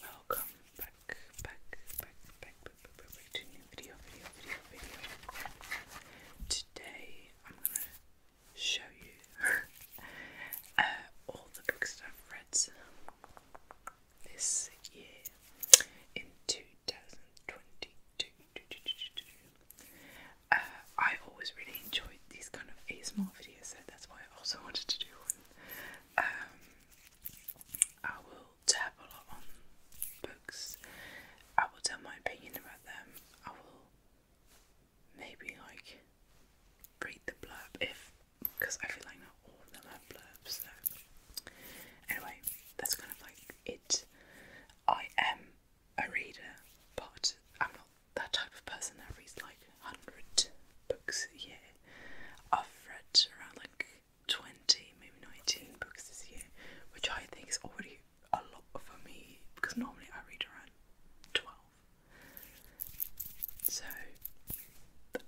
Welcome back, back, back, back, back, back, back, to new video, video, video, video. Today I'm gonna show you uh, all the books that I've read this year in 2022. Uh, I always really enjoyed these kind of ASMR videos, so that's why I also wanted to do one. Um, I will tap a lot on books. I will tell my opinion about them. I will maybe like read the blurb if, because I feel like not all of them have blurbs. anyway, that's kind of like it. I am a reader, but I'm not that type of person that reads like 100 books a year. I've read around like 20, maybe 19 books this year, which I think is already a lot for me because normally I read around 12. So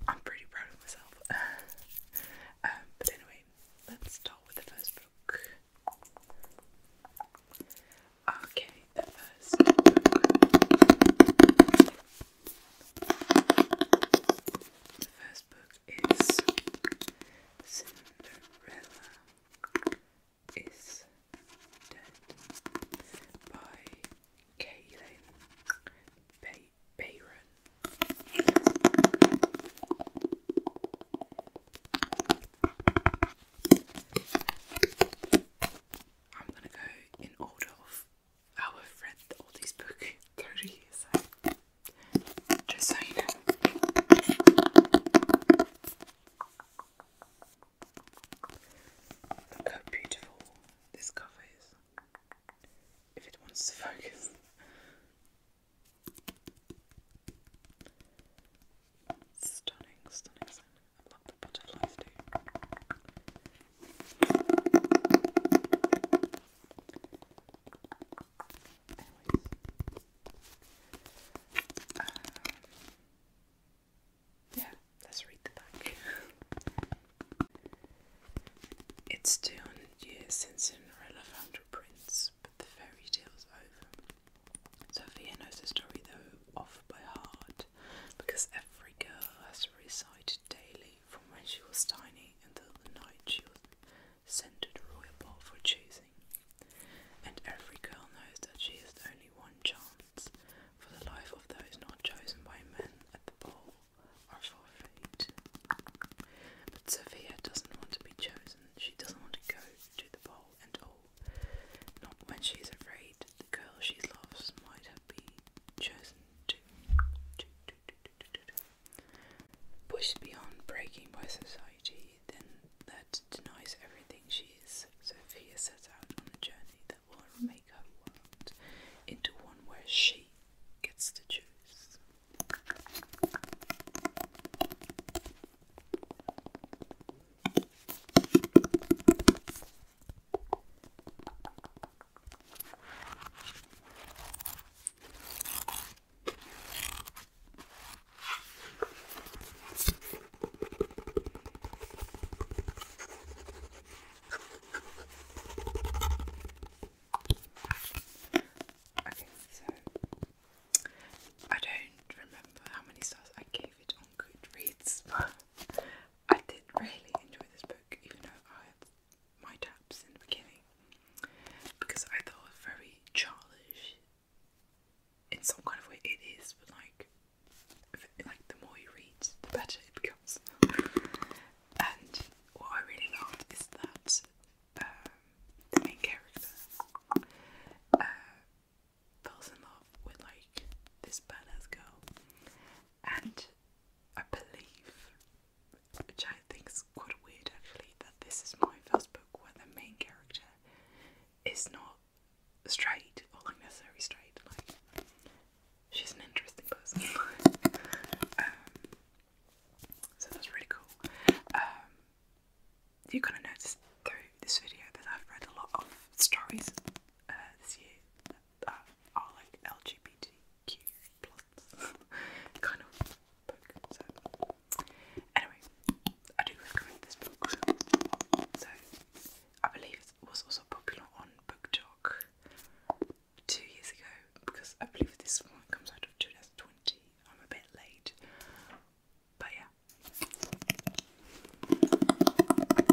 I'm pretty proud of myself. Um, but anyway, let's start with the first book. Okay, the first book. is Cinderella is by Kaylin Bay I'm gonna go in order of I have read all these books 30 years ago. Just so you know. how beautiful this cover is. If it wants to focus. stunning, stunning. Uh, yeah, let's read the back. it's 200 years since Cinderella found her prince, but the fairy tale's over. Sophia knows the story though off by heart because every girl has recited daily from when she was tiny until the night she was sent to the royal ball for choosing. And every girl knows that she has only one chance, for the life of those not chosen by men at the ball are forfeit. But Sophia doesn't want to be chosen, she doesn't want to go to the ball and all. Not when she's afraid the girl she loves might have been chosen to, to, push beyond breaking by society, then that denies everything she is. Sophia sets out on a journey that will make her world into one where she gets to choose. Okay, so I don't remember how many stars I gave it on Goodreads, but I did really enjoy this book, even though I had my taps in the beginning, because I thought it was very childish. In some kind of way, it is, but like, like the more you read, the better it becomes. and what I really loved is that um, the main character uh, falls in love with like this badass girl, and I believe, which I think is quite weird actually, that this is my first book where the main character is not straight or like necessarily straight. Like she's an interesting person. Um, so that's really cool. Um, you're gonna through this video that I've read a lot of stories uh, this year. Uh, are like LGBTQ plus kind of book. So anyway, I do recommend this book. So I believe it was also popular on BookTok two years ago because I believe this one comes out of 2020. I'm a bit late, but yeah.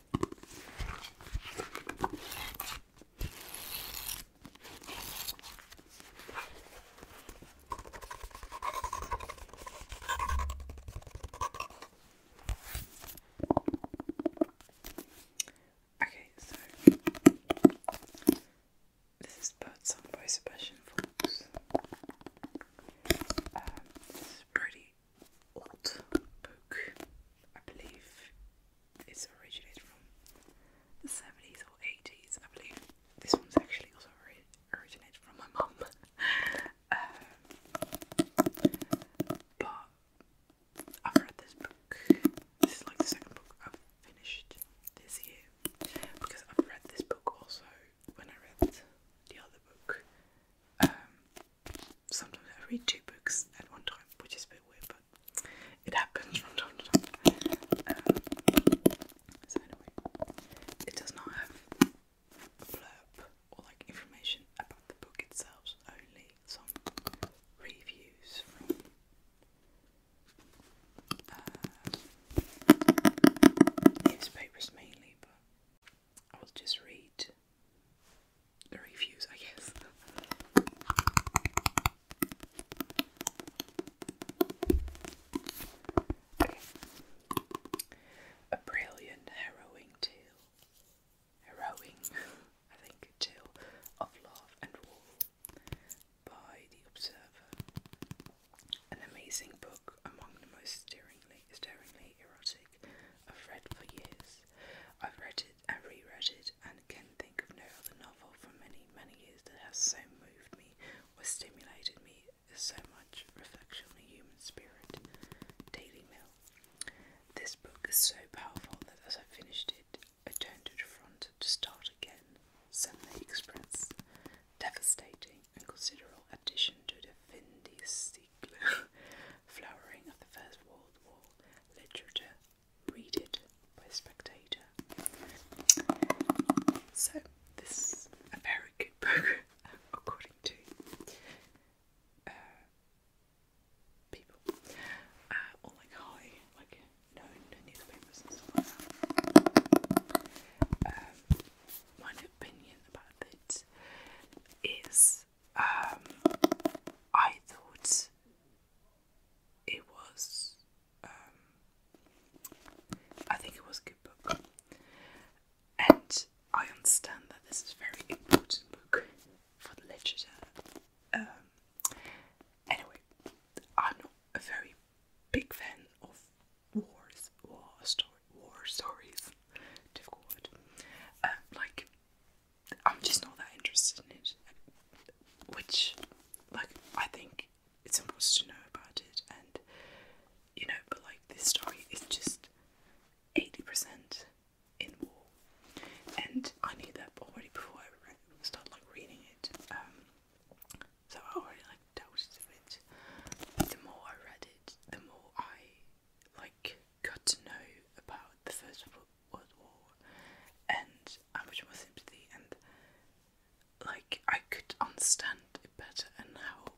Okay, so this is Birdsong by Sebastian Falls. Um, pretty old book. I believe it's originated from the 70s or 80s. I believe this one's actually also originated from my mum. Um, but I've read this book. This is like the second book I've finished this year because I've read this book also when I read the other book. Um, sometimes I read two books at one time, which is a bit weird, but it happens from time to time. Um, so anyway, it does not have blurb or like information about the book itself, only some reviews from uh, newspapers mainly, but I will just read the reviews, I guess. A brilliant harrowing tale. Harrowing, I think, tale of love and war by The Observer. An amazing book among the most stirring daringly, daringly erotic. I've read for years. I've read it and reread it and can think of no other novel for many, many years that has so moved me or stimulated me so much reflection on the human spirit. Daily Mail. This book is so powerful that as I finished it, I turned to the front to start again. Sunday Express. Devastating and considerable addition to the Vindicea flowering of the First World War literature. Read it by Spectator. So, this is a very good book, according to uh, people. Uh, or like high, like known newspapers um, my opinion about it is um, I thought it was, um, I think it was a good book, and I understand that this is a very important book for the literature. Um, anyway, I'm not a very big fan of wars, war story, war stories, difficult word, uh, like I'm just not that interested in it. Which, like, I think it's important to know about it, and you know, but like, this story is just 80% in war, and I knew that already before I read, started like reading it. Um, so I already like dealt with it. The more I read it, the more I like got to know about the First World War and how much more sympathy and like I could understand it better and how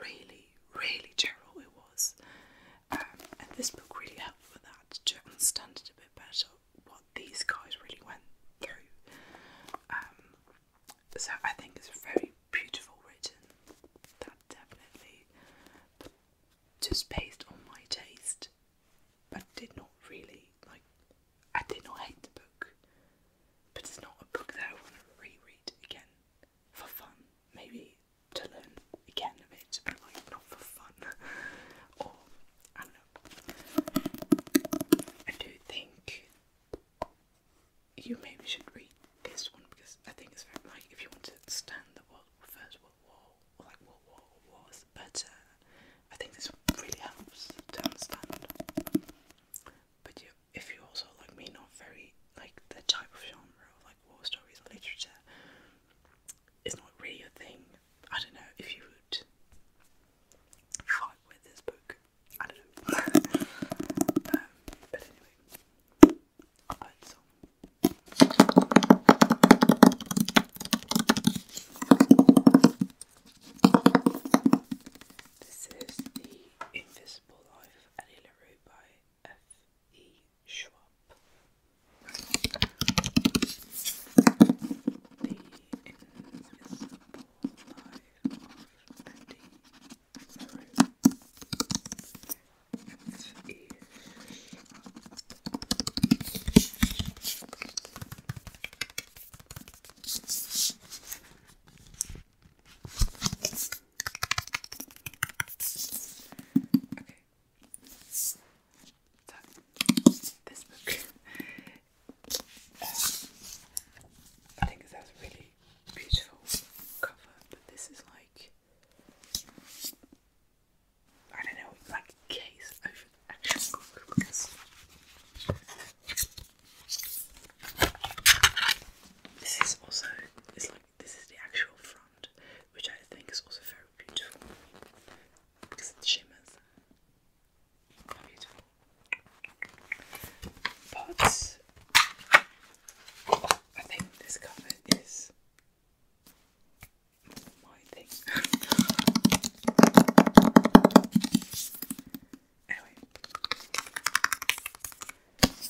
really, really terrible it was. Um, and this book really helped with that to understand it a bit better what these guys really went through. Um, so I think it's very beautiful written. That definitely just based on my taste, but did not really like. I did not hate the book, but it's not a book that I want to reread again for fun. Maybe to learn again a bit, but like not for fun. or I don't know. I do think you maybe should read this one because I think it's very like if you want to understand the World, First like what war was, but I think this really helps to understand. But you, if you're also like me, not very like the type of genre like war stories or literature, it's not really a thing. I don't know if you would fight with this book. I don't know. but anyway, also. This is The Invisible Life of Annie by F.E. Schwab. The Invisible Life of Annie so, this book, I think it has a really beautiful cover, but this is like I don't know, like case over the actual book this is also it's like this is the actual front, which I think is also very beautiful because it shimmers. Beautiful. But I think this cover is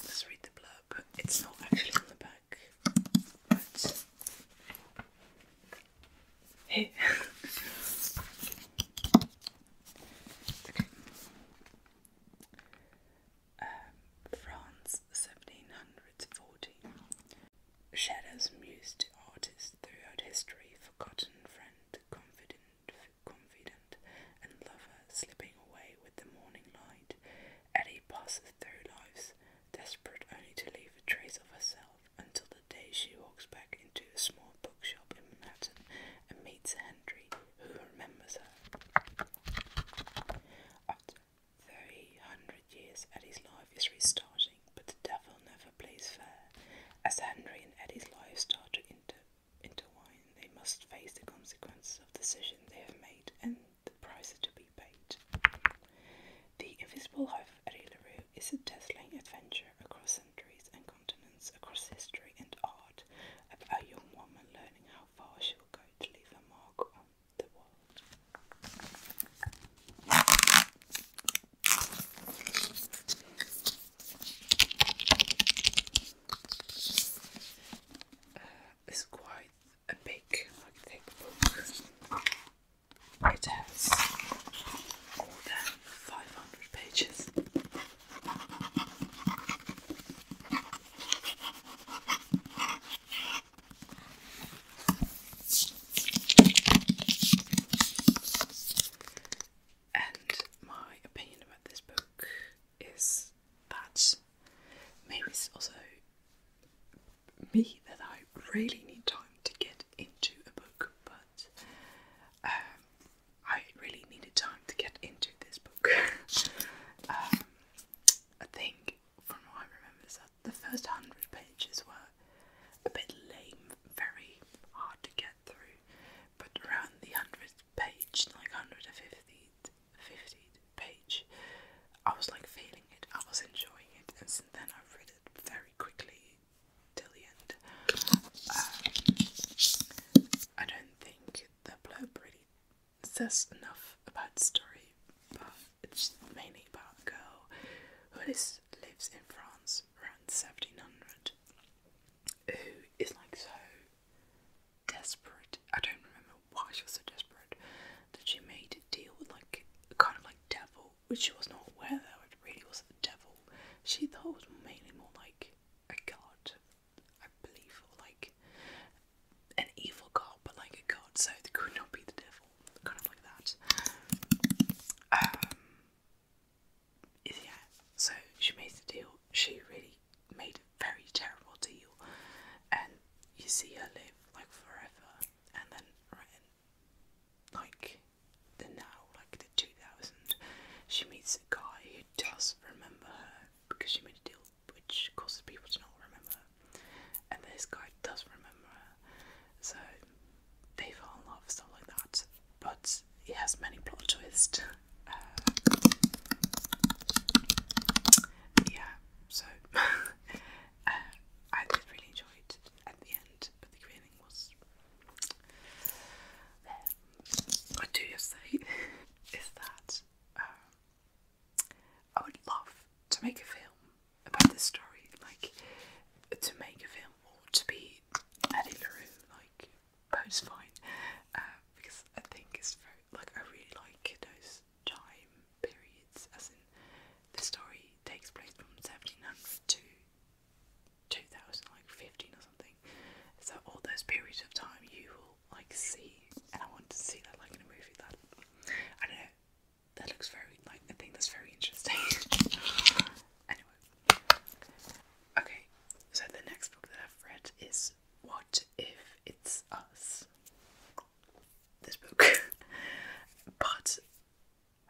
let's read the blurb. It's not actually on the back, but Um, France, 1740. Shadows muse to artists throughout history, forgotten friend, confident, confident, and lover slipping away with the morning light. Eddie passes through lives, desperate only to leave a trace of herself, until the day she walks back into a small bookshop in Manhattan and meets Henry, who remembers her. Three hundred years, Eddie's life is restarting, but the devil never plays fair. As Henry and Eddie's lives start to inter intertwine, they must face the consequences of the they have made and the price to be paid. The Invisible Life of Eddie LaRue is a dazzling adventure across centuries and continents, across history and art, about a young woman learning how far she will go to leave her mark uh, it's quite a big, thick book. It has more 500 pages. And my opinion about this book is that maybe it's also me that I really need time to get into a book, but um, I really needed time to get into this book. Um, I think from what I remember, the first hundred pages were a bit lame, very hard to get through, but around the hundredth page, like 150th, 50th page, I was like feeling it, I was enjoying it, and since then I've read it very quickly till the end. Um, I don't think the blurb really says enough about the story, but it's mainly about a girl who lives in France around 1700 who is like so desperate. I don't remember why she was so desperate that she made a deal with like kind of like devil, which she was not aware that it really was the devil. She thought it was mainly more like a god, I believe, or like an evil god, but like a god, so it could not be the devil. Kind of like that. Um, yeah, so she made the deal. She really made a very terrible deal, and you see her live like forever, and then right in, like the now, like the 2000, she meets a guy who does remember her because she made a deal which causes people to not remember. And this guy does remember, so they fall in love, stuff like that. But it has many plot twists. Uh, yeah, so uh, I really enjoy it at the end, but the beginning was there. What do you say is that um, I would love to make a film about this story, like to make a film or to be Eddie LaRue, like post fine, uh, because I think it's very like I really like those time periods, as in the story takes place from 1700 to 2000, like 15 or something. So all those periods of time you will like see, and I want to see that like in a movie that I don't know that looks very like I think that's very interesting. anyway, okay. So the next book that I've read is What If It's Us? This book, but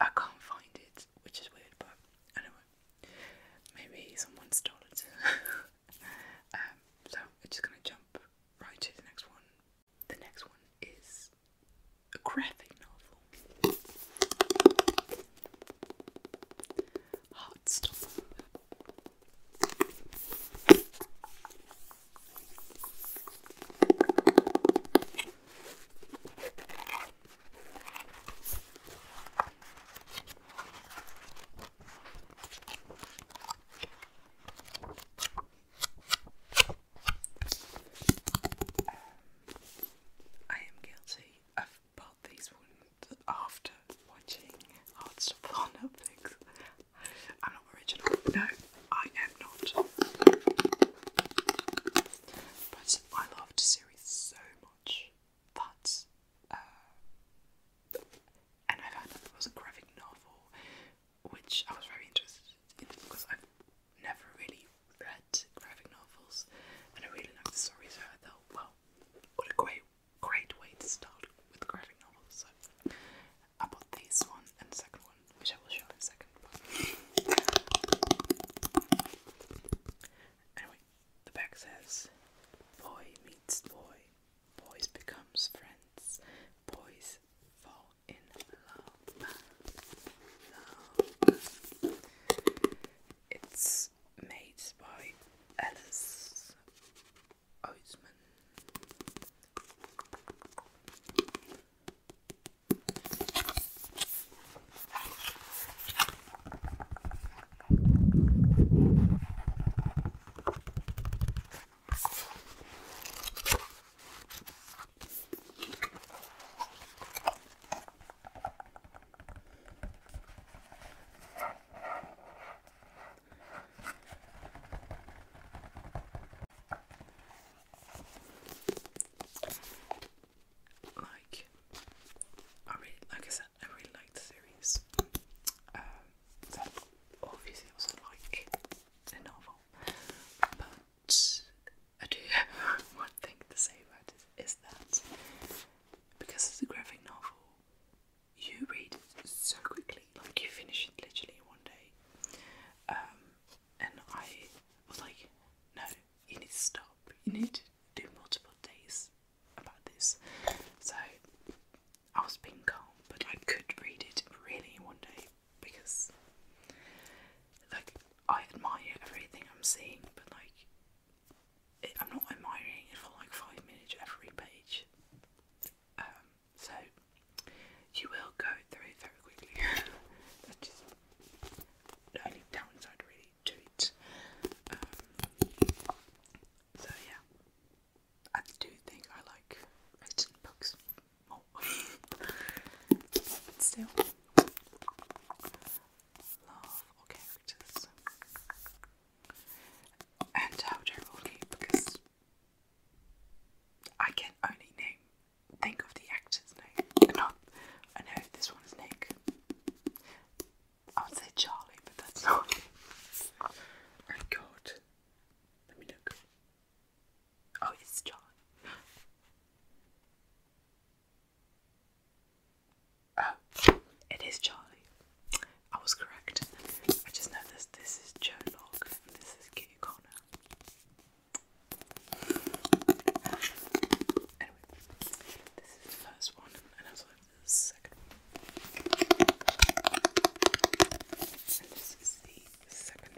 I can't find it, which is weird. But anyway, maybe someone stole it. Um, so I'm just gonna jump right to the next one the next one is a graphic novel. Heartstopper. I am guilty of bought these ones after watching hard stuff on Netflix. I'm not original. No, I am not. But I loved the series so much that, uh, and I found that there was a graphic novel which I was very interested in because I've never really read graphic novels and I really like the stories. so I well, what a great, great way to start with graphic novels. So I bought this one and the second one, which I will show in a second. Anyway, the back says, Boy meets boy, boys becomes friends, boys fall in love, love. It's made by Alice Oseman. Like, I really, like I said, I really like the series. Um, so obviously, also like the novel. But I do have one thing to say about it is that because it's a graphic novel, you read so quickly, like you finish it literally in one day. Um, and I was like, no, you need to stop. You need to do multiple days about this. So I was being calm, but I could read it really one day because, like, I admire everything I'm seeing, but like, I'm not admiring it for like five minutes every page. Um, so you will go through it very quickly. That's just the only downside really to it. Um, so yeah, I do think I like written books more. still, love all characters. And how Rocky because I can only name think of the actor's name. Not I know this one is Nick. I would say Charlie, but that's not. oh God. Let me look. Oh, it's John. Oh, it is Charlie. I was correct. I just noticed this is Joe Locke and this is Kitty Connor. Anyway, this is the first one and also the second And this is the second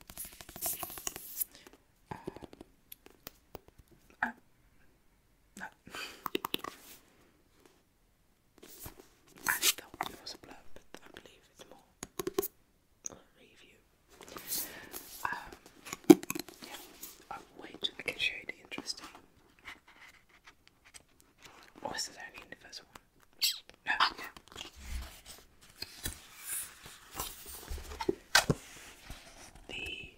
Um, I thought it was a blurb, but I believe it's more review. Um, yeah. I can show you the interesting. Or oh, this only the first one? No, the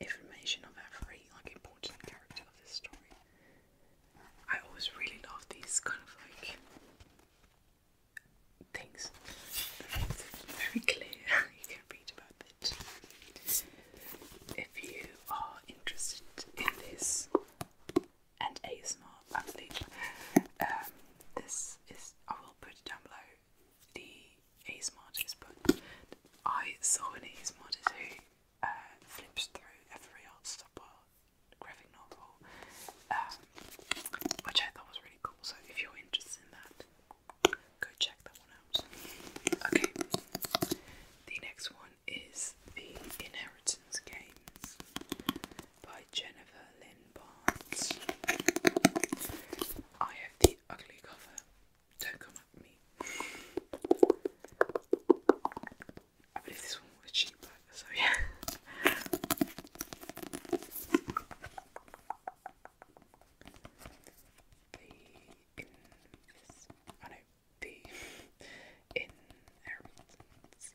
information of every like important character of this story. I always really love these kind of like things. very clear, you can read about it. If you are interested in this and ASMR athlete. Um, this is I will put down below the ASMR artist, but I saw an ASMR who uh, flips through every art stopper graphic novel, um, which I thought was really cool. So if you're interested in that, go check that one out. Okay, the next one is the Inheritance Games by Jennifer Lynn Barnes. I have the ugly cover. Don't come at me. I believe this one was cheaper, so yeah in Harrington's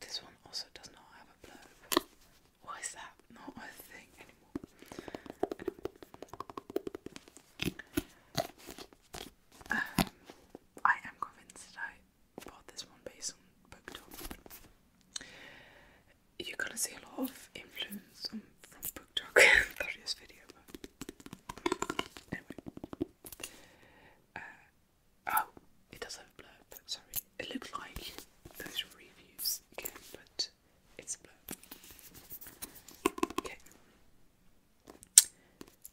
This one also does not have a blurb. Why is that not a thing anymore? I am convinced that I bought this one based on BookTok. You're gonna see a lot of influence from BookTok through this video, uh, oh, it does have a blurb, sorry. It looks like those reviews again, but it's a blurb. Okay.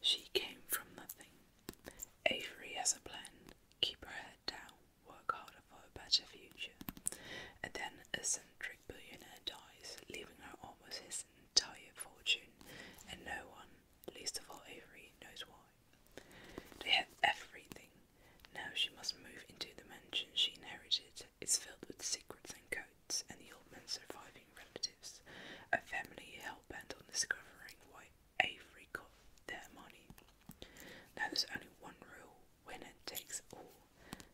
She came from nothing. Avery has a plan. Keep her head down, work harder for a better future. And then a centric billionaire dies, leaving her almost his entire fortune, and no one, least of all Avery, knows why. They have everything. Now she must move into the mansion she inherited. It's filled with secrets and codes, and the old man's surviving relatives a family hell bent on discovering why Avery got their money. Now there's only one rule winner takes all.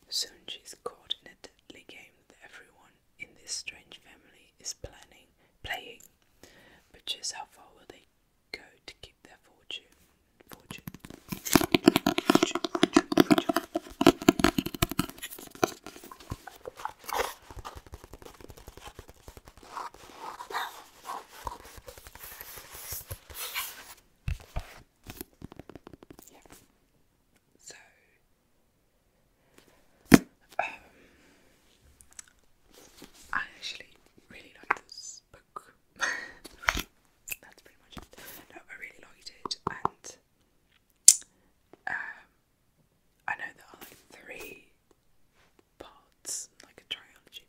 Soon she's caught in a deadly game that everyone in this strange family is planning playing. But just how far will they go to keep their fortune, fortune. So um I actually really like this book. That's pretty much it. No, I really liked it and um I know there are like three parts, like a trilogy,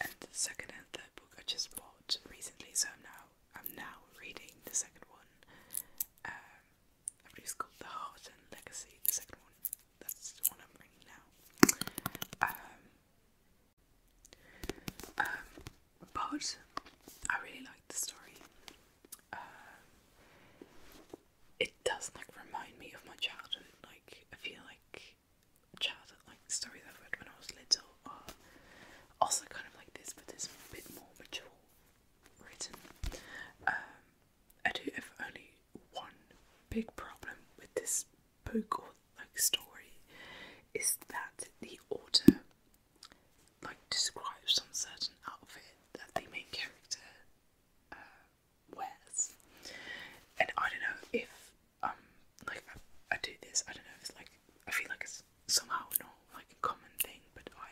and the second and third book I just bought recently, so I'm now I'm now reading the second one. Um, I believe it's called The Heart and Legacy, the second one. That's the one I'm reading now. Um, um, but I really like the story. Um, it does like remind me of my childhood. Like I feel like childhood like stories I've read when I was little are also kind of like this, but it's a bit more mature written. Um, I do have only one big problem with this book or like story is that the author like describes some certain outfit that the main character uh, wears. And I don't know if um like I, do this. I don't know if like I feel like it's somehow not like a common thing, but I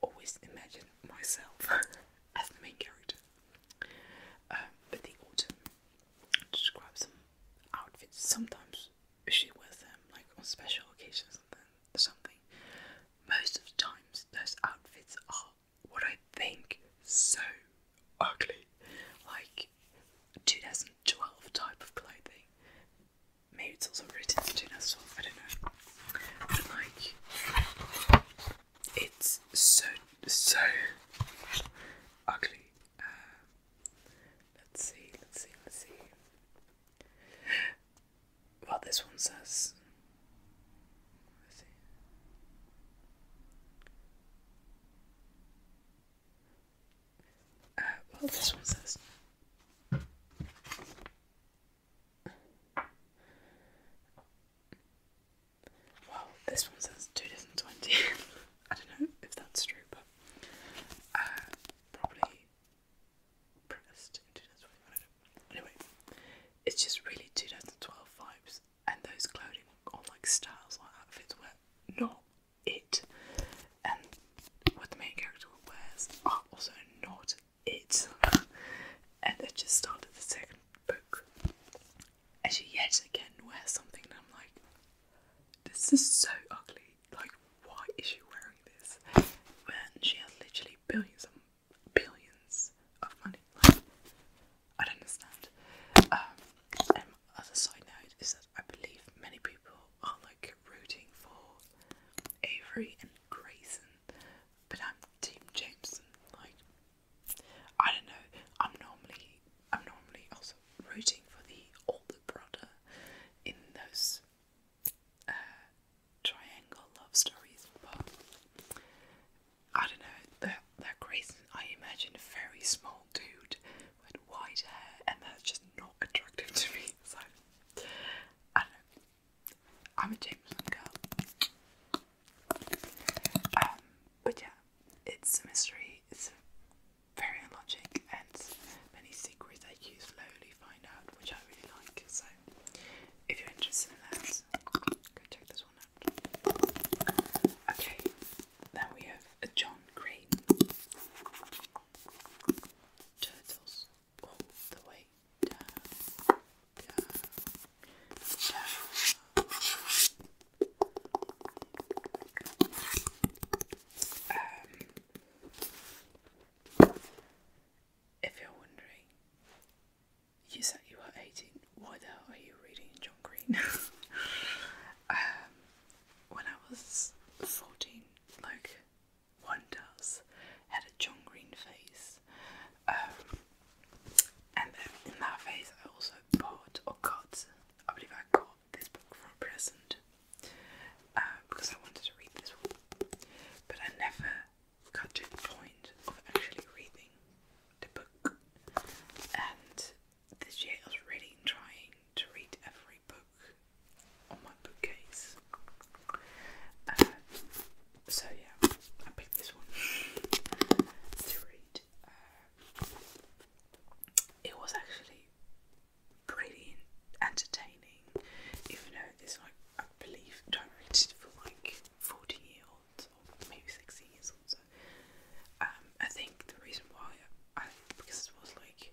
always imagine myself as the main character. Um, but the autumn describes some outfits. Sometimes she wears them like on special occasions or something. Most of the times, those outfits are what I think so ugly, like 2012 type of clothing. Maybe it's also written in 2012, I don't know. But like, it's so, so ugly. Uh, let's see, let's see, let's see. Uh, well, this one says. well, this one says. Well, this one says 2020. I don't know if that's true, but uh, probably pressed in 2020. Anyway, it's just really 2012 vibes, and those clothing on like styles like outfits were not it, and what the main character wears are also not it. and I just started the second book, and she yet again wears something, and I'm like, this is so ugly. Like, why is she wearing this? When she has literally billions of billions of money. I don't understand. Um, and my other side note is that I believe many people are like rooting for Avery and Grayson, but I'm Team Jameson. Like, I don't know. I'm normally, I'm normally also rooting for the older brother in those uh, triangle love stories, but I don't know, they're, they're crazy. I imagine a very small dude with white hair, and that's just not attractive to me. So, I don't I'm a Jameson girl. Um, but yeah, it's a mystery, it's very illogical and many secrets that you slowly find out, which I really like. So, if you're interested in that, go check this one out. Okay, then we have John Crane. Turtles all the way down, um, if you're wondering you said you were 18. Why the hell are you reading John Green? Um, when I was 14, like one does, had a John Green phase. Um, and then in that phase, I also bought or got, I believe I got this book for a present uh, because I wanted to read this one. But I never got point of actually reading the book, and this year I was really trying to read every book on my bookcase. Um, so yeah, I picked this one to read. Um, it was actually pretty entertaining, even though it's like I believe I for like 40 year olds or maybe 60 years old. So, um, I think the reason why I, because it was like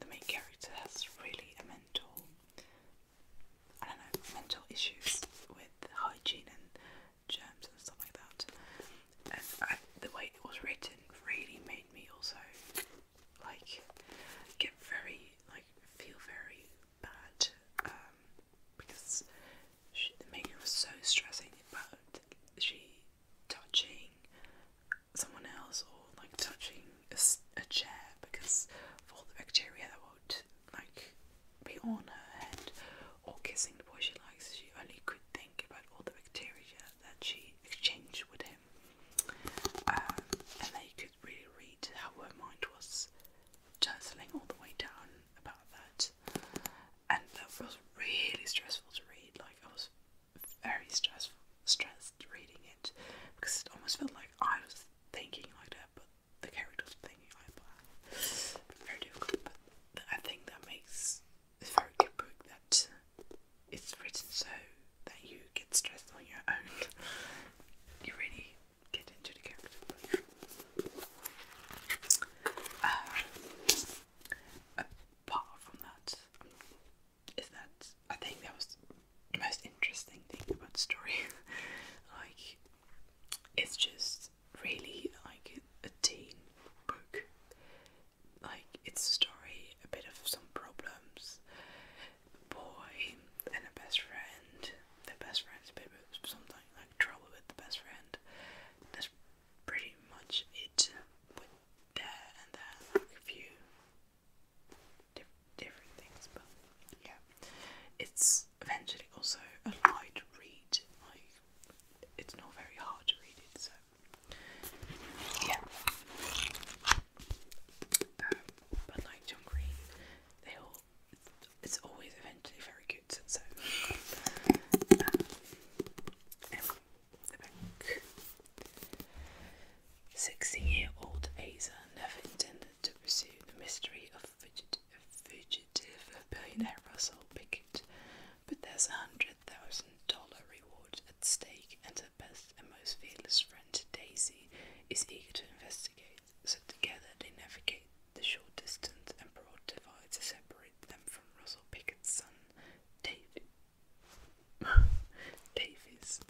the main character has really a mental, I don't know, mental issues with hygiene and germs and stuff like that. And I, the way it was written really made me also like get very like feel very bad um, because the making was so stressing about she touching someone else or like touching a, a chair because of all the bacteria that would like be on her head or kissing the boy she likes. She only could think about all the bacteria that she exchanged with him, um, and they could really read how her mind was turtling all the way down about that. And that was really stressful to read. Like I was very stressful stressed reading it because it almost felt like I was thinking like that but the characters were thinking like that. Very difficult. But I think that makes a very good book that it's written so that you get stressed on your own. you really get into the character. Uh, apart from that, is that I think that was the most interesting thing about the story. like, it's just really like a teen book. Like, it's a story, a bit of some problems, a boy and a best friend, their best friend's a bit of something like trouble with the best friend. That's pretty much it with that and that, like a few different things, but yeah. It's eventually also a light read, like, it's not very hard to read it, so yeah. Um, but like John Green, they all it's always eventually very good. Um, um, Sixty-year-old Asa never intended to pursue the mystery of fugitive billionaire Russell Pickett, but there's a hundred thousand dollar reward at stake, and her best and most fearless friend Daisy is eager to investigate. So together they navigate the short distance and broad divide to separate them from Russell Pickett's son, David. Davies.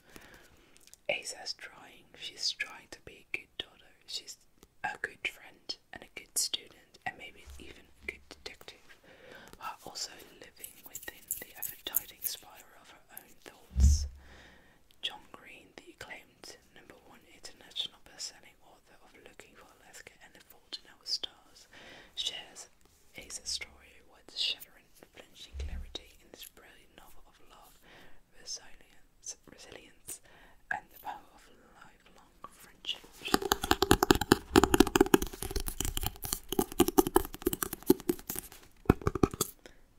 Asa's trying. She's trying to be a good daughter. She's a good friend and a good student and maybe even a good detective, while also living within the ever-tightening spiral of her own thoughts. John Green, the acclaimed number one international bestselling author of Looking for Alaska and The Fault in Our Stars, shares his story with shattering, flinching clarity in this brilliant novel of love, resilience, resilience, and the power of lifelong friendship.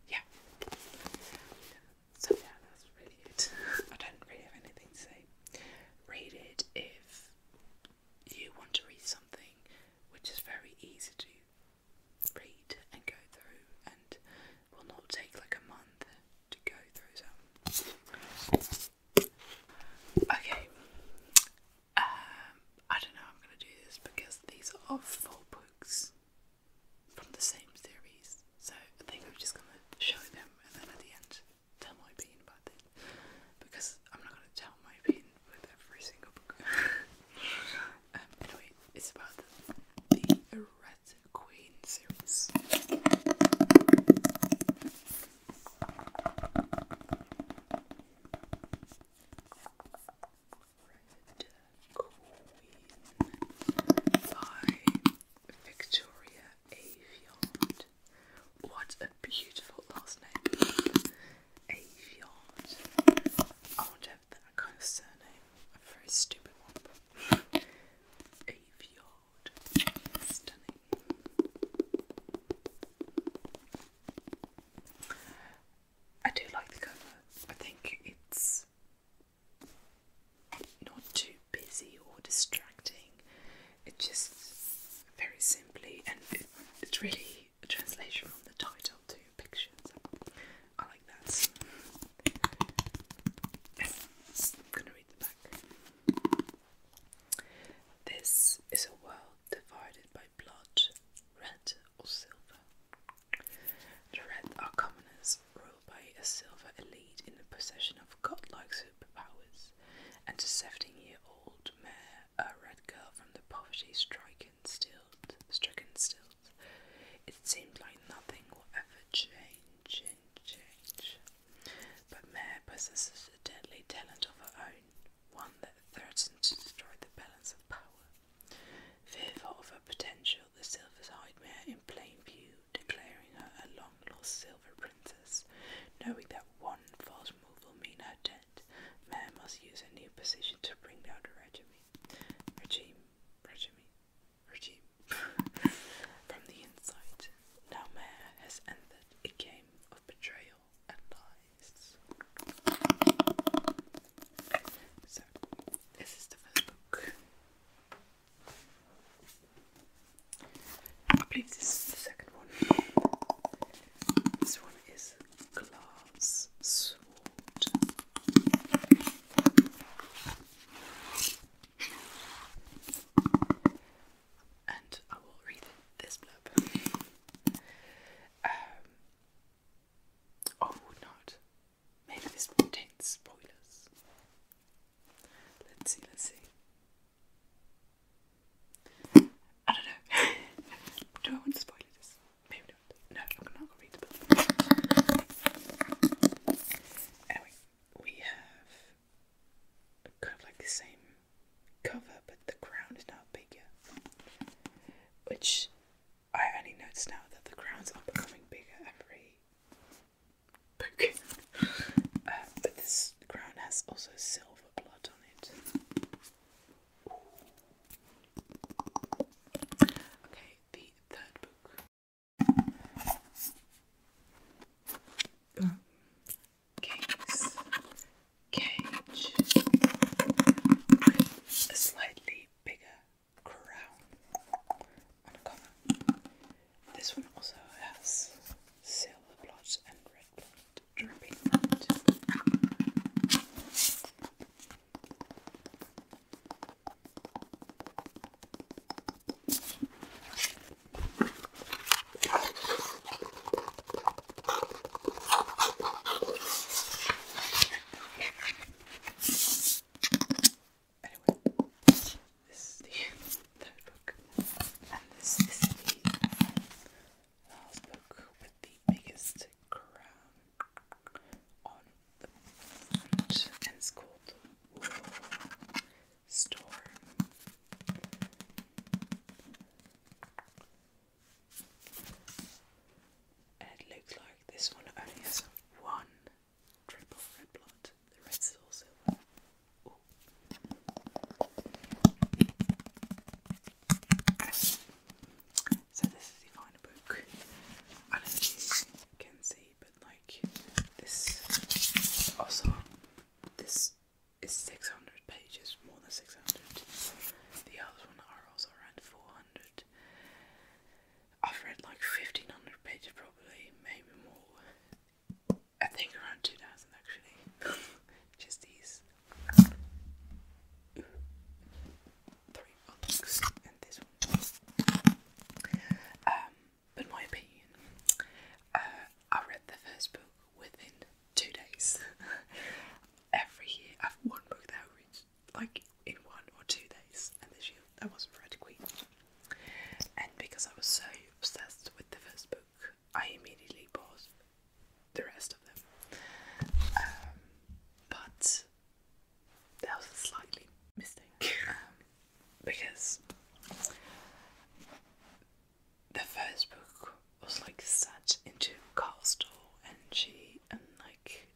Yeah. So yeah, that's really it. I don't really have anything to say. Read it if you want to read something which is very easy to read and go through and will not take like a month to go through so okay um I don't know I'm gonna do this because these are four books from the same series. So I think I'm just gonna show them and then at the end tell my opinion about it. Because I'm not gonna tell my opinion with every single book. um, anyway, it's about the, the Red Queen series. Victoria Aviard. What a beautiful last name. Aviard. I want to have that kind of surname. A very stupid one. Aviard. Stunning. I do like the cover. I think it's not too busy or distracting. It just very simply, and it's really a translation from the title to pictures. I like that. I'm gonna read the back. This is a world divided by blood, red or silver. The red are commoners ruled by a silver elite in the possession of godlike superpowers, and a 17-year-old mare, a red girl from the poverty-stricken stilt, stricken stilt. It seemed like nothing would ever change change. But Mare possesses a deadly talent of her own, one that threatens to destroy the balance of power. Fearful of her potential, the silver eyed mare in plain view, declaring her a long lost silver princess. Knowing that one false move will mean her death, Mare must use a new position to bring down the regime. Regime, regime, regime. From the inside, now Mare has entered a game of betrayal and lies. So, this is the first book. I believe this is the second one. This one is glass sword. And I will read this blurb. oh, not. Maybe this contains spoilers. Let's see, let's see. I don't know. Do I want to spoil this? Maybe not. No, I'm not gonna read the book. we have kind of like the same cover, but the crown is now bigger. Which I only notice now that the crowns are becoming bigger every um, but this crown has also silver blood on it. Okay, the third book. Oh. Cage. A slightly bigger crown This one also has silver blotch and red blotch dripping out. Anyway, this is the third book, and this is the last book with the biggest crown on the front, it's called Storm. it looks like this one only has one the red's So this is the final book. I can see, but like this also this is 600 pages, more than 600. The other one are also around 400. I've read like 1500 pages probably, maybe more. I think around 2000 actually. Just these three books and this one. Um, but my opinion, uh, I read the first book within two days. Every year, I've one book that I read like in one or two days, and this year I wasn't Queen. And because I was so obsessed with the first book, I immediately bought the rest of them. Um, but that was a slightly mistake. Um, because the first book was like set into Castle and she and like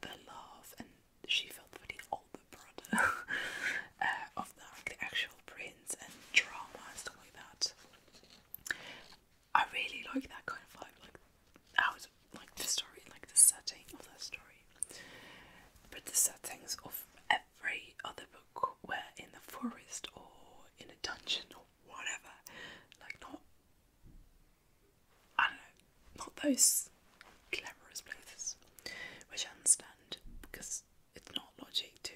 the love and she felt for the older brother uh, of the, actual prince and drama and stuff like that. I really like that kind of vibe, like how it's like the story, like the setting of that story. But the settings of every other book were in the forest or in a dungeon or whatever. Like not I know, not those cleverest places, which I understand because it's not logic to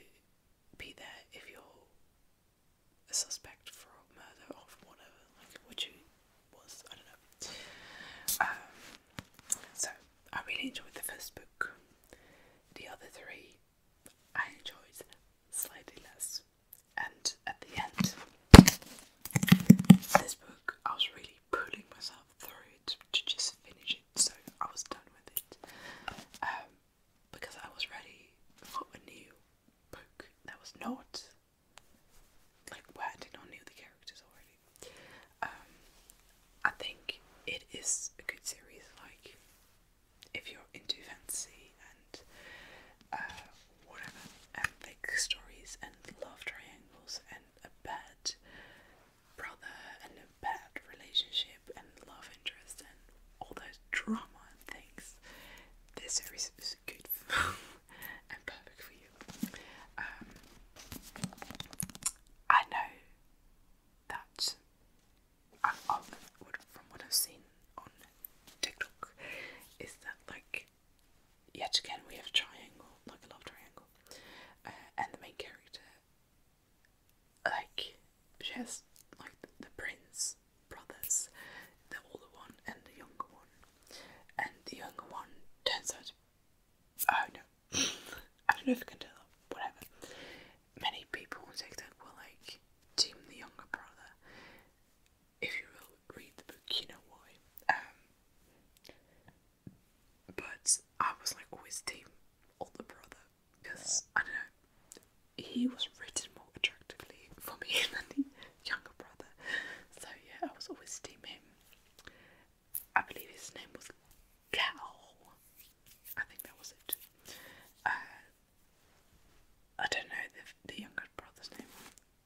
be there if you're a suspect for a murder or for whatever, like what you was, I don't know. Um, so I really enjoyed the first book. The other three I enjoyed slightly less. And at the end, this book I was really pulling myself through to, just finish it, so I was done with it. Um, because I was ready for a new book that was not like where I did not know the characters already. Um, I think it is a good series. Like, if you're into fantasy and uh, whatever, and like stories and love triangles and a bad brother and a bad relationship and love interest and all those drama things, this series is good and perfect for you. Um, I know that I, I from what I've seen on TikTok, is that like yet again we have a triangle, like a love triangle, uh, and the main character, like she has like the, prince brothers, the older one and the younger one, and the younger one turns out. Oh no, I don't know if I can tell. Whatever. Many people on TikTok will like team the younger brother. If you read the book, you know why. Um, but I was like always team older brother because I don't know he was written more attractively for me than the younger brother. So yeah, I was always team him. I believe his name was Cal. I think that was it. Uh, I don't know the the younger brother's name.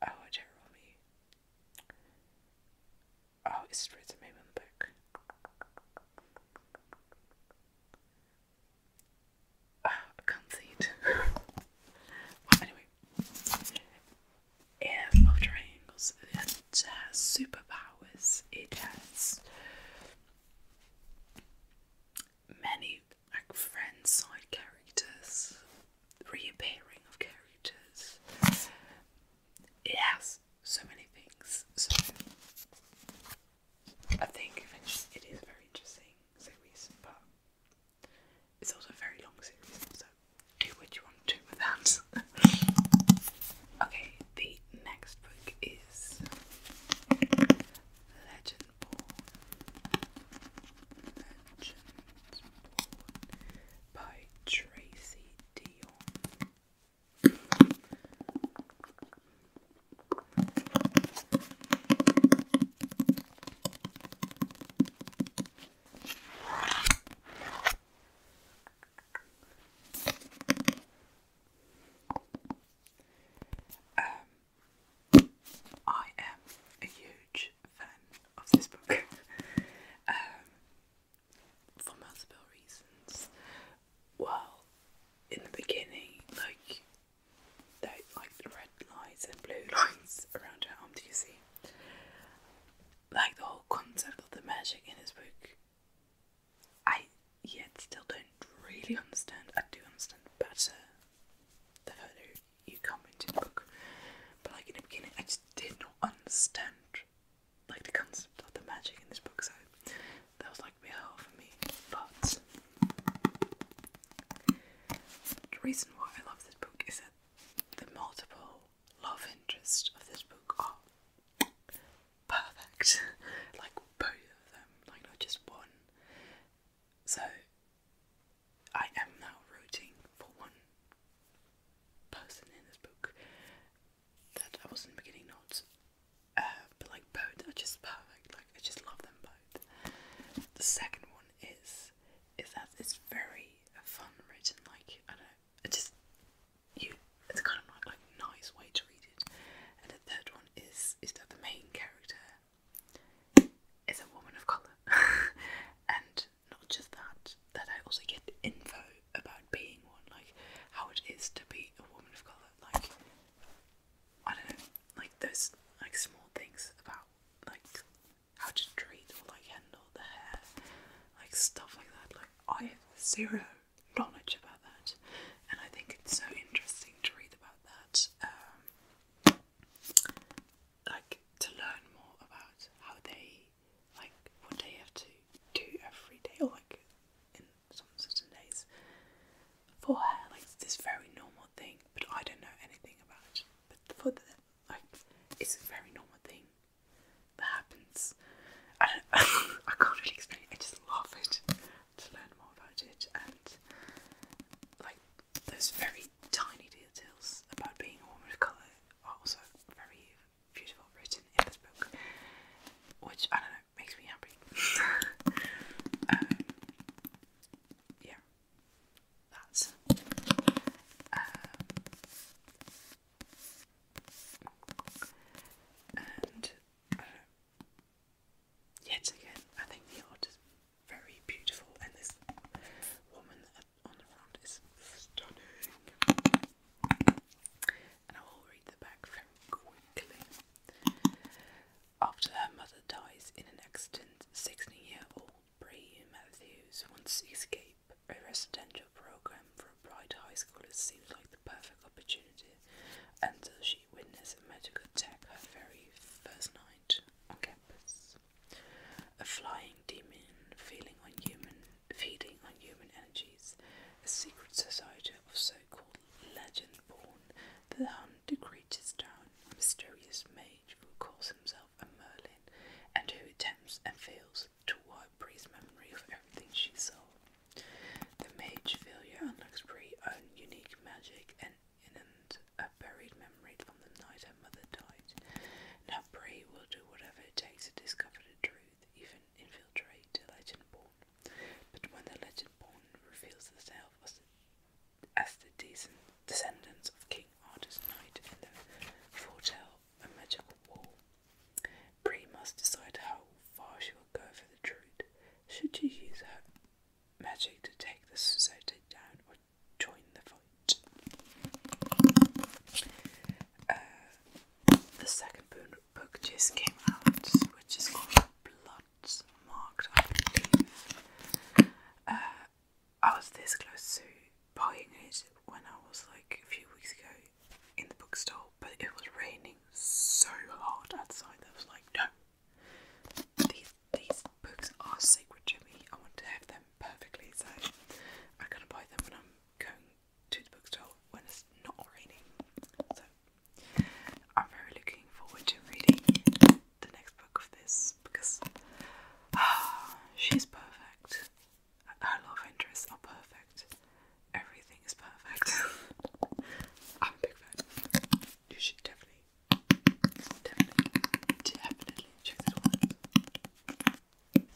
Oh, Jeremy. Oh, it's straight to maybe on the back. Ah, I can't see it. anyway, it has triangles. It has superpowers. It has many like friend side characters, reappearing of characters it so many things. So I think it is very interesting series, but it's also a very long series, so do what you want to with that. okay, the next book is Legend Born. by Tracy D deal. Um, I am a huge fan of this book. Um, for multiple reasons. Well, in the beginning, like they like the red lines and blue lines around her arm. Do you see? Like the whole concept of the magic in his book, I yet still don't really understand. I do understand better the further you come into the book, but like in the beginning, I just did not understand like the concept of the magic in this book, so that was like a bit hard for me. But the reason why I love this book is that the multiple love interests of this book are perfect. like both of them, like not just one. So I am now rooting for one person in this book that I wasn't beginning notes. Uh, but like both are just perfect. Like I just love them both. The second one is is that it's very fun written. Like I don't know, it just you. It's kind of like nice way to read it. And the third one is is that the main character is a woman of color, and not just that, that I also get info about being one, like how it is to be a woman of colour, like I don't know, like those like small things about like how to treat or like handle the hair, like stuff like that. Like I have zero knowledge about that, and I think it's so interesting to read about that. Um, like to learn more about how they like what they have to do every day, or like in some certain days for hair. Like this very normal thing, but I don't know anything about it. But for the it's a very normal thing that happens. I don't. I can't really explain I just love it to learn more about it and like those very tiny details about being a woman of color are also very beautiful written in this book, which I don't know makes me happy. Um, yeah, that's. Um, and uh, yet again, I think the art is very beautiful, and this woman after her mother dies in an accident, 16-year-old Brie Matthews wants to escape. A residential program for bright high schooler seems like the perfect opportunity until she witnesses a medical attack her very first night on campus. A flying demon feeling unhuman feeding on human energies, a secret society of so-called legend-born the hunt the creatures down, mysterious mage who calls himself a Merlin, and who attempts and fails to wipe Bree's memory of everything she saw. The mage failure unlocks Bree's own unique magic and innant a buried memory from the night her mother died. Now Bree will do whatever it takes to discover the truth even infiltrate the Legendborn. But when the Legendborn reveals herself as the, as the decent descendants of King Arthur's knight and the foretell a magical wall, Bri must decide how far she will go for the truth. Should she use her magic to take the society down or join the fight? Uh, the second book just came out, which is called Blood Marked, uh, I was this close to buying it when I was like a few weeks ago in the bookstore, but it was raining so hard outside that I was like, no, these, these books are sacred to me. I want to have them perfectly, so I'm gonna buy them when I'm going to the bookstore when it's not raining. So I'm very looking forward to reading the next book of this because ah, she's perfect. Her love interests are perfect. Everything is perfect. I'm a big fan. You should definitely, definitely, definitely check this Okay.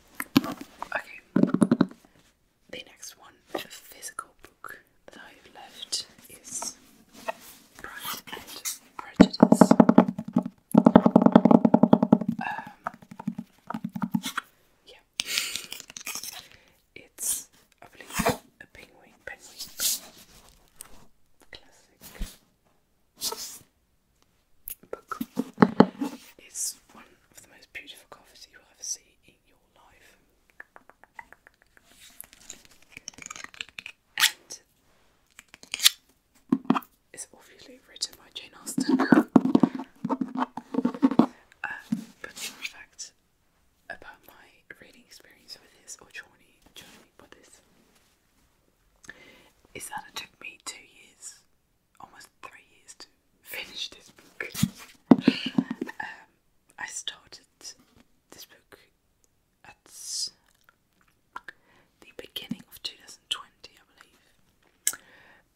The next one, the physical book that I've left is Pride and Prejudice. Um, yeah. It's, I believe, a penguin, penguin. Classic. It's one of the most beautiful covers you'll ever see in your life. And it's obviously written by Jane Austen. uh, but fun fact about my reading experience with this, or journey, journey with this, is that it took me two years almost three years to finish this book. um, I started this book at the beginning of 2020, I believe.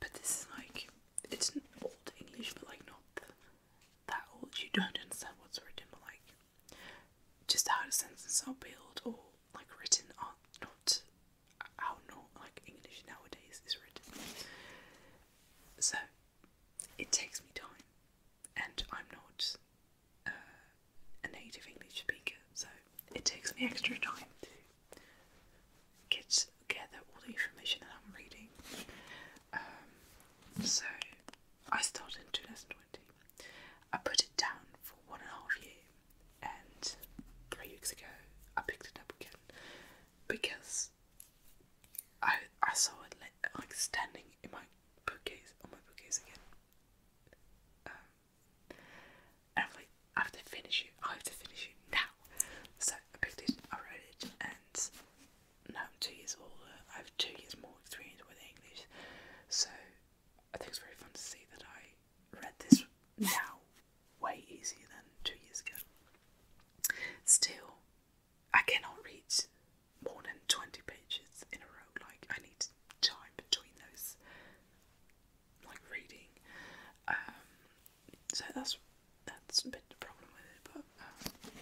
But this is like, it's an old English, but like not that old. You don't understand what's written, but like just how the sentences are built or like written are not how not like English nowadays is written. So it takes me time, and I'm not uh, a native English speaker, so it takes me extra time to get gather all the information that I'm reading. Um, so I started in 2020. I put it down for one and a half year, and three weeks ago I picked it up again because I I saw it like standing in my bookcase on my bookcase again. Um, and I'm like, I have to finish it. I have to finish it now. So I picked it, I read it, and now I'm two years older. I have two years more experience with English, so I think it's very fun to see that I read this now way easier than two years ago. Still, I cannot read more than 20 pages in a row. Like, I need time between those, like, reading. Um, so that's that's a bit the problem with it, but um,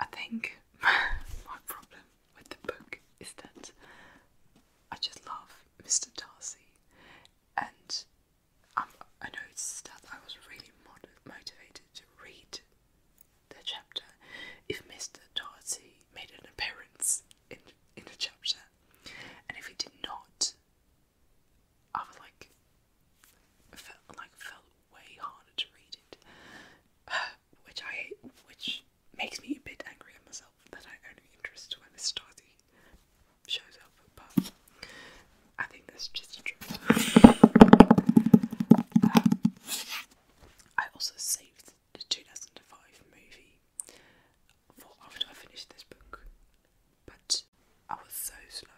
I think my problem with the book is that I just love Mr. Darcy, and um, I noticed that I was really motivated to read the chapter if Mr. Darcy made an appearance in in the chapter, and if he did not, I would like felt like felt way harder to read it, which I which makes me a bit angry at myself that I only interest when Mr. Darcy shows up, but I think that's just the I also saved the 2005 movie after I finished this book, but I was so slow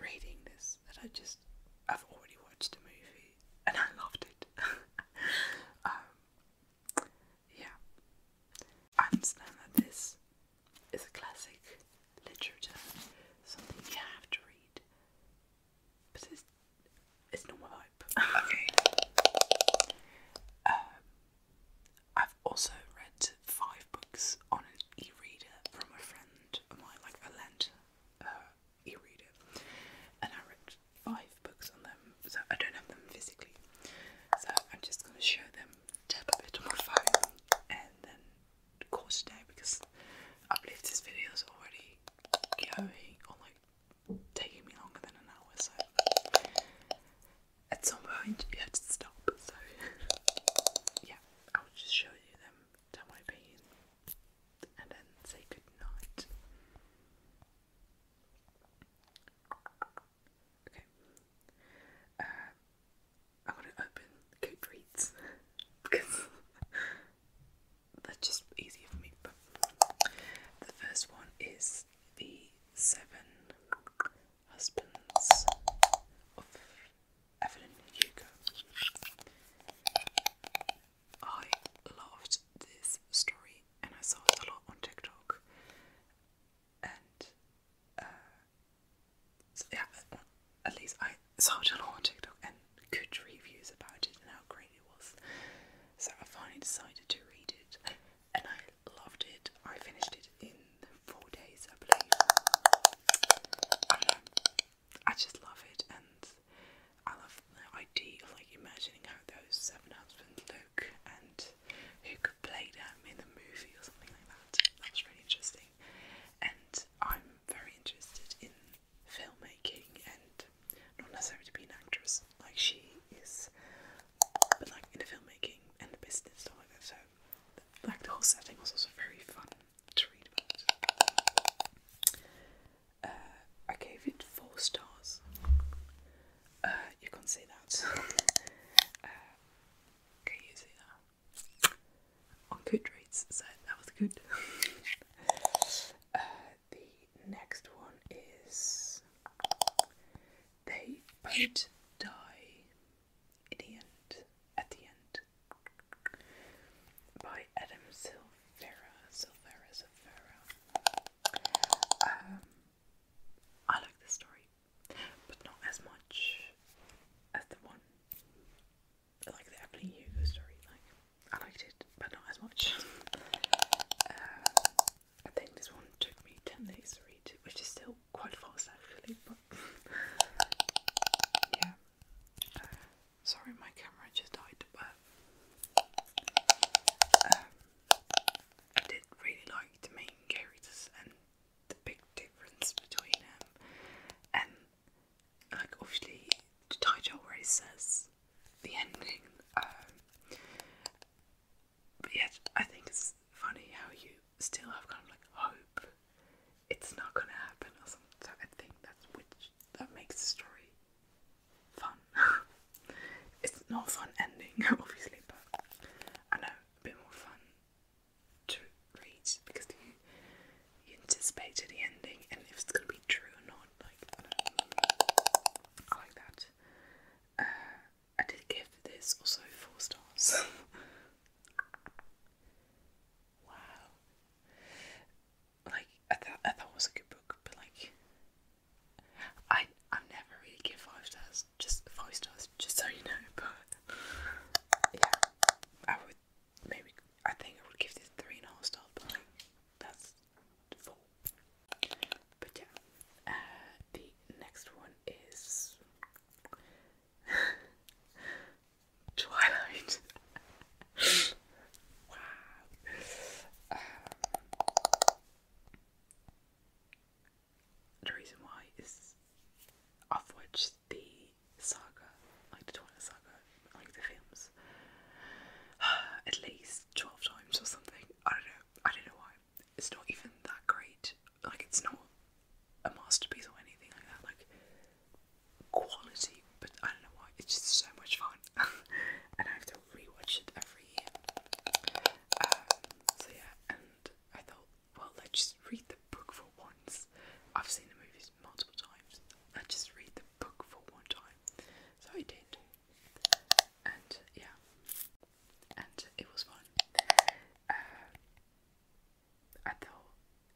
reading this that I just I've already watched the movie and I loved it. Um, yeah, I understand that this it's a classic literature, something you have to read. But it's it's not my vibe. Um, I've also read five books on an e-reader from a friend of mine, like a lent uh, e-reader, and I read five books on them. So I don't have them physically. So I'm just gonna show them tap a bit on my and then call today because I believe this video is already going or like taking me longer than an hour so at some point you have to stop so yeah I'll just show you them tell my opinion and then say good night Okay. Uh, I want to open Goodreads because that's just easier for me. But the first one is the Seven Husbands of Evelyn Hugo. I loved this story and I saw it a lot on TikTok. And uh, so yeah, at least I saw it on TikTok and good reviews about it and how great it was. So I finally decided to read it, and I loved it. I finished it in four days, I believe. I um, I just love it, and I love the idea of like imagining how those seven husbands look and who could them um, in the movie or something like that. That was really interesting. And I'm very interested in filmmaking and not necessarily to be an actress like she is, but like in the filmmaking and the business stuff like that. So like the whole setting was also very fun to read about. Uh, I gave it four stars. Uh, you can't say that. Uh, can you see that? On Goodreads, so that was good. Uh, the next one is they both die in the end. At the end, by Adam Silvera, Silvera, Silvera. Um, I like this story but not as much as the one like the Evelyn Hugo story. Like I liked it, but not as much. Uh, I think this one took me ten days to read, which is still quite fast actually. But yeah, uh, sorry, my camera just died, but. Um, I did really like the main characters and the big difference between them. Um, like obviously the title already says the ending. Um, but yet I think it's funny how you still have kind of like hope it's not gonna happen or something. So I think that's which that makes the story fun. it's not a fun ending, obviously, but I know a bit more fun to reach because you you anticipated the ending and if it's gonna be true or not, like I like that. Uh, I did give this also four stars. wow. Like I thought I thought it was a good book, but like I I never really give five stars just five stars, just so you know. But yeah, I would maybe I think I would give this three and a half stars, but that's four. But yeah, uh, the next one is Twilight. wow. Um, the reason why is I've watched the saga, like the Twilight like the films, at least 12 times or something. I don't know, I don't know why. It's not even that great, like, it's not a masterpiece or anything like that, like, quality, but I don't know why, it's just so much fun. and I have to rewatch it every year. Um, so yeah, and I thought well, let's just read the book for once. I've seen the movies multiple times. Let's just read the book for one time. So I did. And yeah. And it was fun. Uh, I thought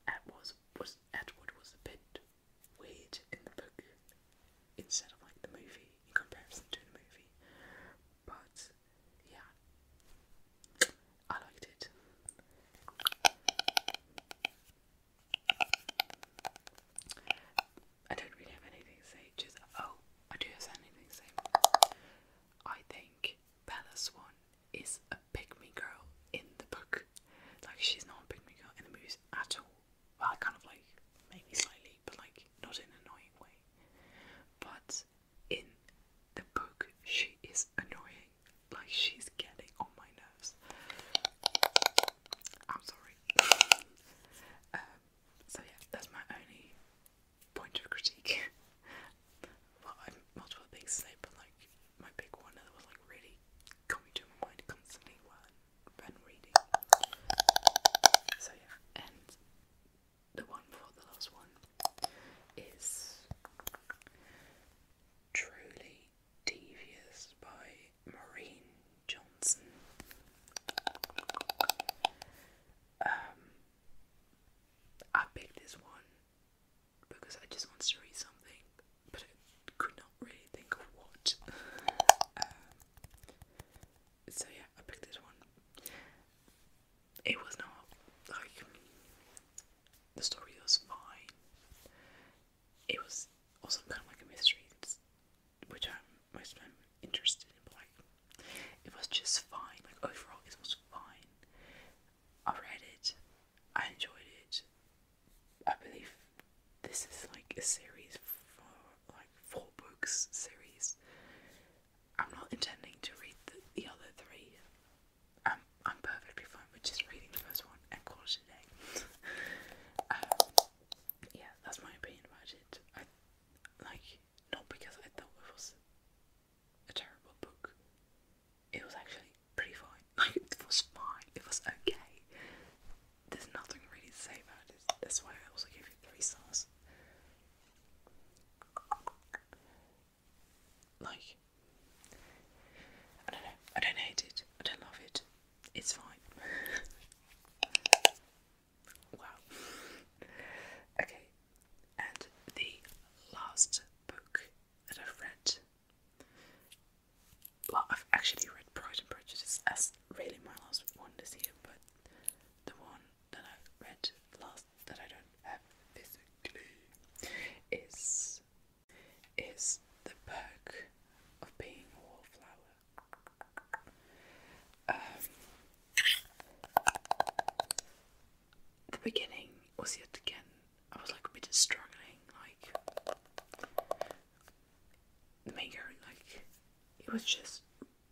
Ed was, was Edward was a bit weird in the book instead of like the movie in comparison to the movie. But yeah, I liked it. I don't really have anything to say. Just oh, I do have anything to say. I think Bella Swan is a pick girl in the book. Like she's not a pick girl in the movies at all. Well, kind of like maybe slightly, but like not in an annoying way. But in the book, she is annoying. Like, she's getting on my nerves. I'm sorry. Um, so, yeah, that's my only point of critique. well, I've multiple things but like, my big one that was like really coming to my constantly when reading. So, yeah, and the one before the last one is Truly Devious by Maureen Johnson. Um, I picked this one because I just wanted to read something, but I could not really think of what. Um, so yeah, I picked this one it was not like the story was fine. It was also kind of like a mystery, which I'm I'm interested in. But like, it was just fine. Like overall, it was fine. I read it. I enjoyed it. I believe this is like a series for like four books series. I'm not intending to read the, other three. I'm, I'm perfectly fine with just reading the first one and call it a day. yeah, that's my opinion about it. like not because I thought it was a terrible book. It was actually pretty fine. Like it was fine. It was okay. There's nothing really to say about it. That's why I also gave it three stars. Like, I don't know. I don't hate it. I don't love it. It's fine. wow. Okay, and the last book that i read. Well, I've actually read Pride and Prejudice as really my last one this year, but the one that I read last that I don't have physically is is the perk of being a wallflower. Um, the beginning was yet again. I was like a bit struggling, like the maker, like he was just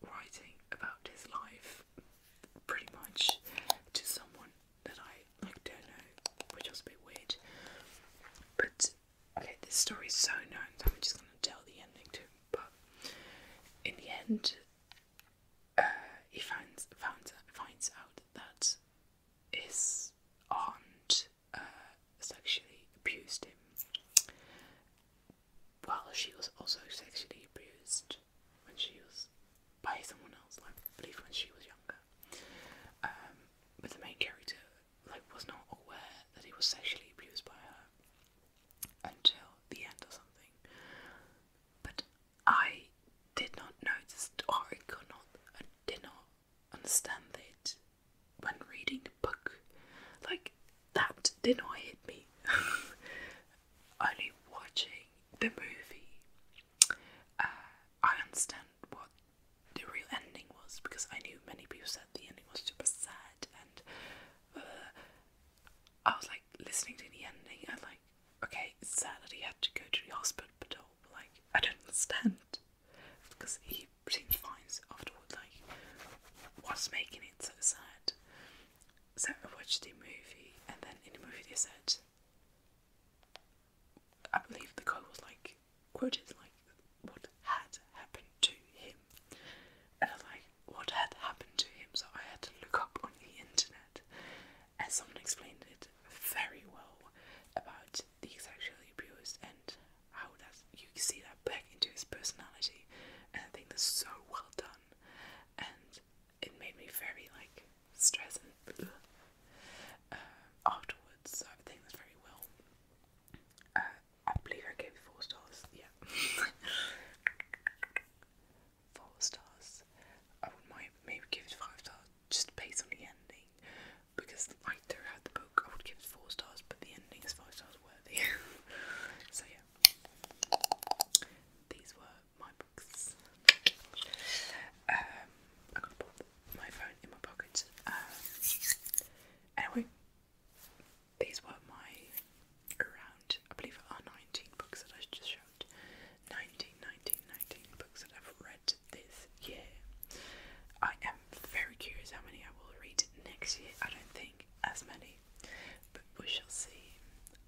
writing about his life pretty much to someone that I like don't know, which was a weird. But okay, this story is so known, so I'm just gonna tell the ending too. But in the end, uh, he finds found, finds out that his aunt uh, sexually abused him. While she was also sexually abused when she was by someone else, like I believe when she was younger. Um, but the main character like was not aware that he was sexually abused by her until the end or something. But I did not notice or I could not I did not understand it when reading the book. Like that did not hit me. only watching the movie, uh, I understand what the real ending was because I knew many people said the ending was super sad, and uh, I was like listening to the ending and like, okay, it's sad that he had to go to the hospital, but like, I don't understand because he seems fine afterward. Like, what's making it so sad? So I watched the movie, and then in the movie they said, I believe the guy was like quoted like what had happened to him, and I was like, what had happened to him? So I had to look up on the internet, and someone explained it very well about the sexually abused and how that you see that back into his personality, and I think that's so well done, and it made me very like stress and um, afterwards. I think that's very well. Uh, I believe I gave it four stars. Yeah, four stars. I would might maybe give it five stars just based on the ending because like throughout the book I would give it four stars, but the ending is five stars worthy. so yeah, these were my books. Um, I'm my phone in my pocket. Um, anyway, these were my around, I believe it are 19 books that I just showed. 19, 19, 19 books that I've read this year. I am very curious how many I will read next year. I don't think as many, but we shall see.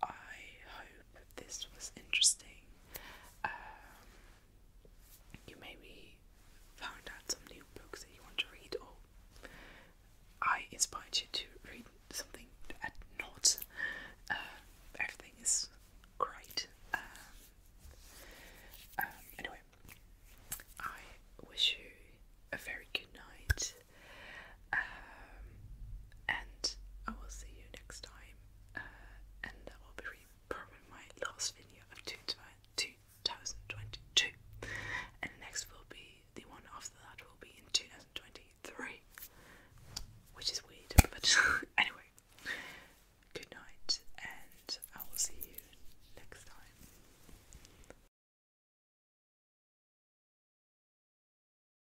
I hope this was interesting. Um, you maybe found out some new books that you want to read, or I inspired you to read something at not. Uh, everything is great. Um, um, anyway, I wish you a very good night. Um, and I will see you next time. Uh, and that will be probably my last video of two, And next will be the one after that will be in 2023, which is weird. But anyway, good night, and I will see you next time.